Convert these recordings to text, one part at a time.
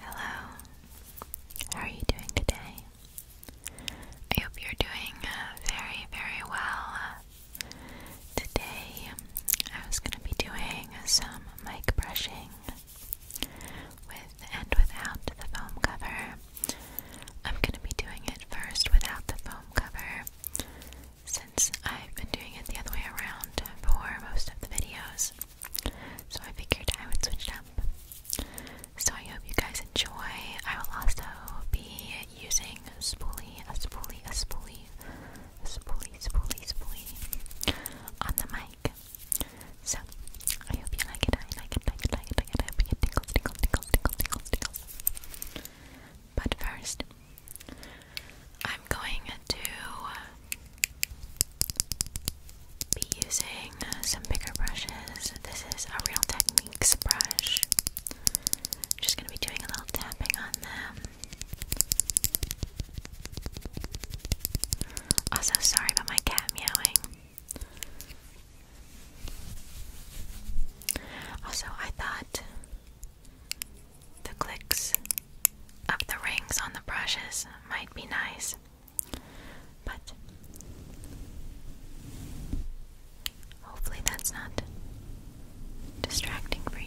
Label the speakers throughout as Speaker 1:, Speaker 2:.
Speaker 1: Hello, how are you doing today? I hope you're doing uh, very, very well. today, I was going to be doing some mic brushing with and without the foam cover. I'm going to be doing it first without the foam cover since I've been doing it the other way around for most of the videos. So I figured I would switch it up. So I hope you guys enjoy. I will also be using spoolie, a spoolie, a spoolie, a spoolie, spoolie, spoolie on the mic. So I hope you like it, I like it, like it, like like it. I hope you get tingles, tingles, tingles, tingles, tingles, But first, I'm going to be using some bigger brushes. This is a Real Techniques brush. Just gonna be doing a little tapping on them. Also, sorry about my cat meowing. Also, I thought the clicks of the rings on the brushes might be nice. But hopefully that's not distracting for you.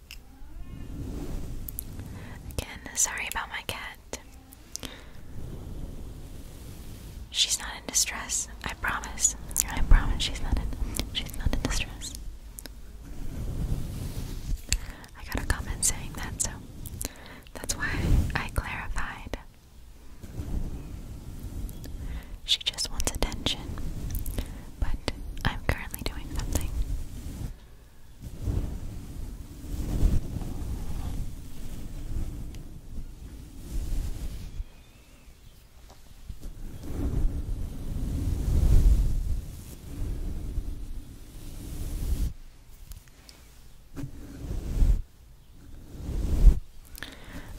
Speaker 1: Again, sorry about my cat. She's not in distress. I promise. I promise she's not in she's not in distress. I got a comment saying that, so that's why I clarified. She just wants attention but I'm currently doing something.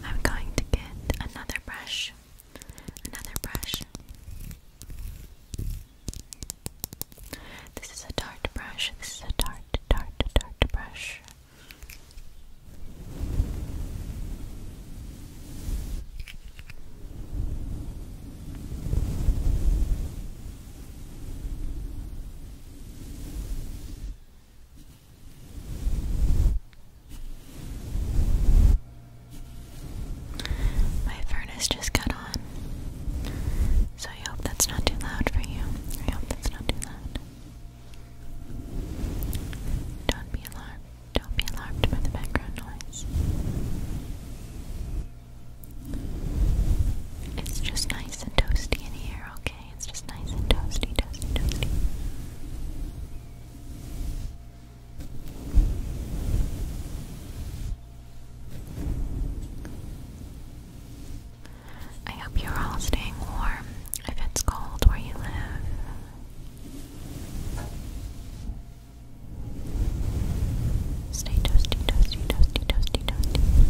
Speaker 1: I'm going to get another brush Another brush. This is a dart brush. This is a dart, dart, dart brush. My furnace just cut on. So I hope that's not too loud for you. I hope that's not too loud. Don't be alarmed. Don't be alarmed by the background noise. It's just nice and toasty in here, okay? It's just nice and toasty, toasty, toasty. I hope you're all staying warm if it's cold where you live. Stay toasty, toasty, toasty, toasty, toasty.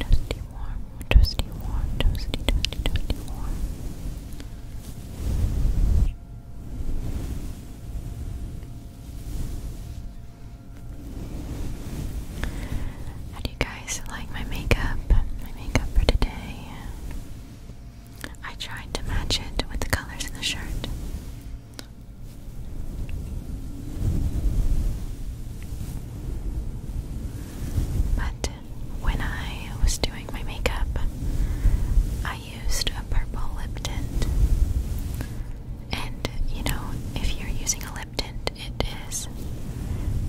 Speaker 1: Toasty warm, toasty warm, toasty, toasty, toasty warm. How do you guys like my makeup? My makeup for today. I tried to match it with the colors in the shirt. But when I was doing my makeup, I I used a purple lip tint. And you know, if you're using a lip tint, it is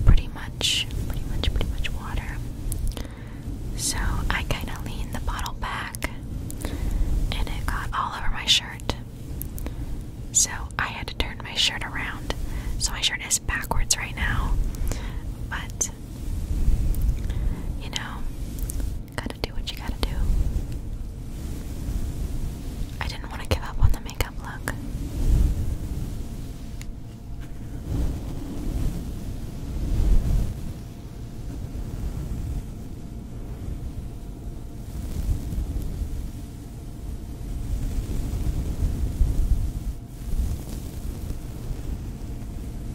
Speaker 1: pretty much, pretty much, pretty much water. So I kind of leaned the bottle back and it got all over my shirt. So I had to turn my shirt around. So my shirt is backwards right now. But you know, gotta do what you gotta do. I didn't want to give up on the makeup look.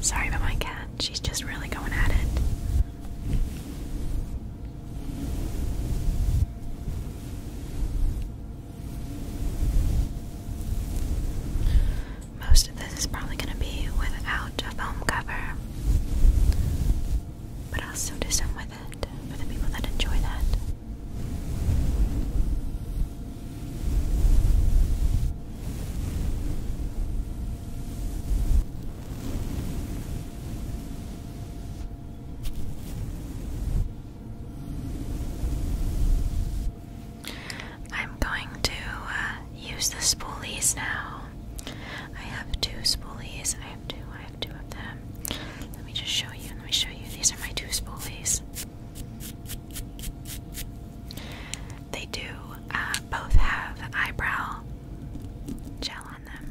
Speaker 1: Sorry about my cat, she's just really going at it. Most of this is probably going to be without a foam cover, but I'll still do some with it for the people that enjoy that. I'm going to uh, use the spoolies now. I have two spoolies. I have two. I have two of them. Let me just show you. Let me show you. These are my two spoolies. They do uh, both have eyebrow gel on them.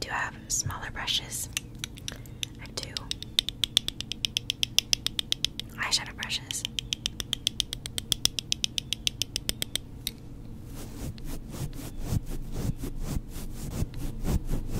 Speaker 1: Do I have smaller brushes? I do. Eyeshadow brushes.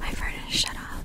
Speaker 1: My furnace shut off.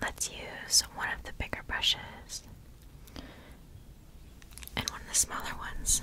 Speaker 1: Let's use one of the bigger brushes and one of the smaller ones.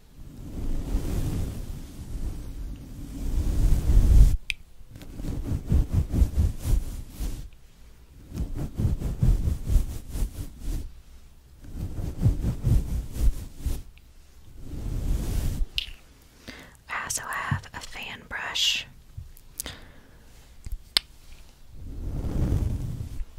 Speaker 1: I also have a fan brush.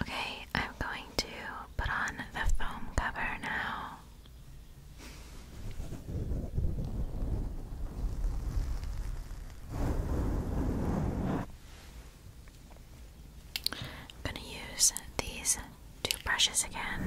Speaker 1: Okay, I'm going to put on the foam cover now. I'm going to use these two brushes again.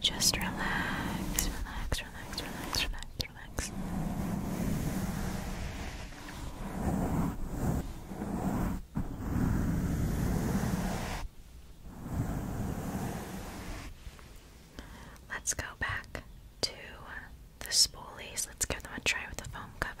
Speaker 1: Just relax, relax, relax, relax, relax, relax. Let's go back to the spoolies. Let's give them a try with the foam cover.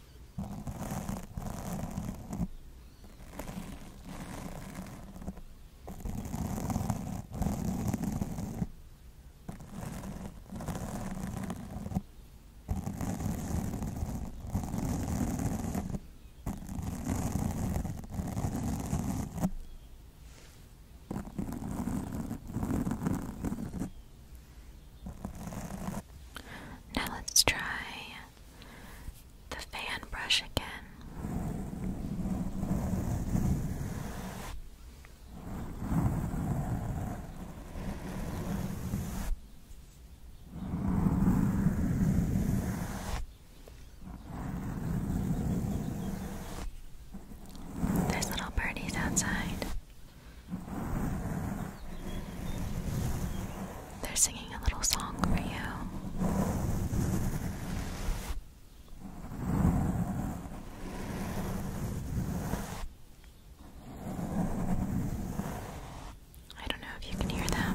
Speaker 1: Now let's try the fan brush again. There's little birdies outside. They're singing a little song for you. I don't know if you can hear them.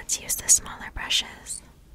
Speaker 1: Let's use the smaller brushes.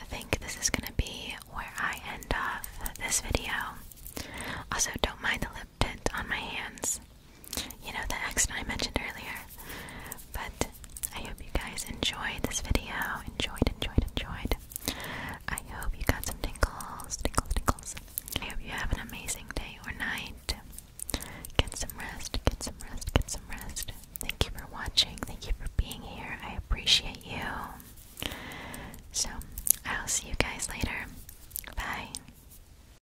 Speaker 1: I think this is going to be where I end off this video. Also, don't mind the lip tint on my hands. You know, the accident I mentioned earlier. But I hope you guys enjoyed this video. Enjoyed, enjoyed, enjoyed. I hope you got some tingles, tingles, tingles. I hope you have an amazing day or night. Get some rest, get some rest, get some rest. Thank you for watching. Thank you for being here. I appreciate you. So, I'll see you guys later. Bye.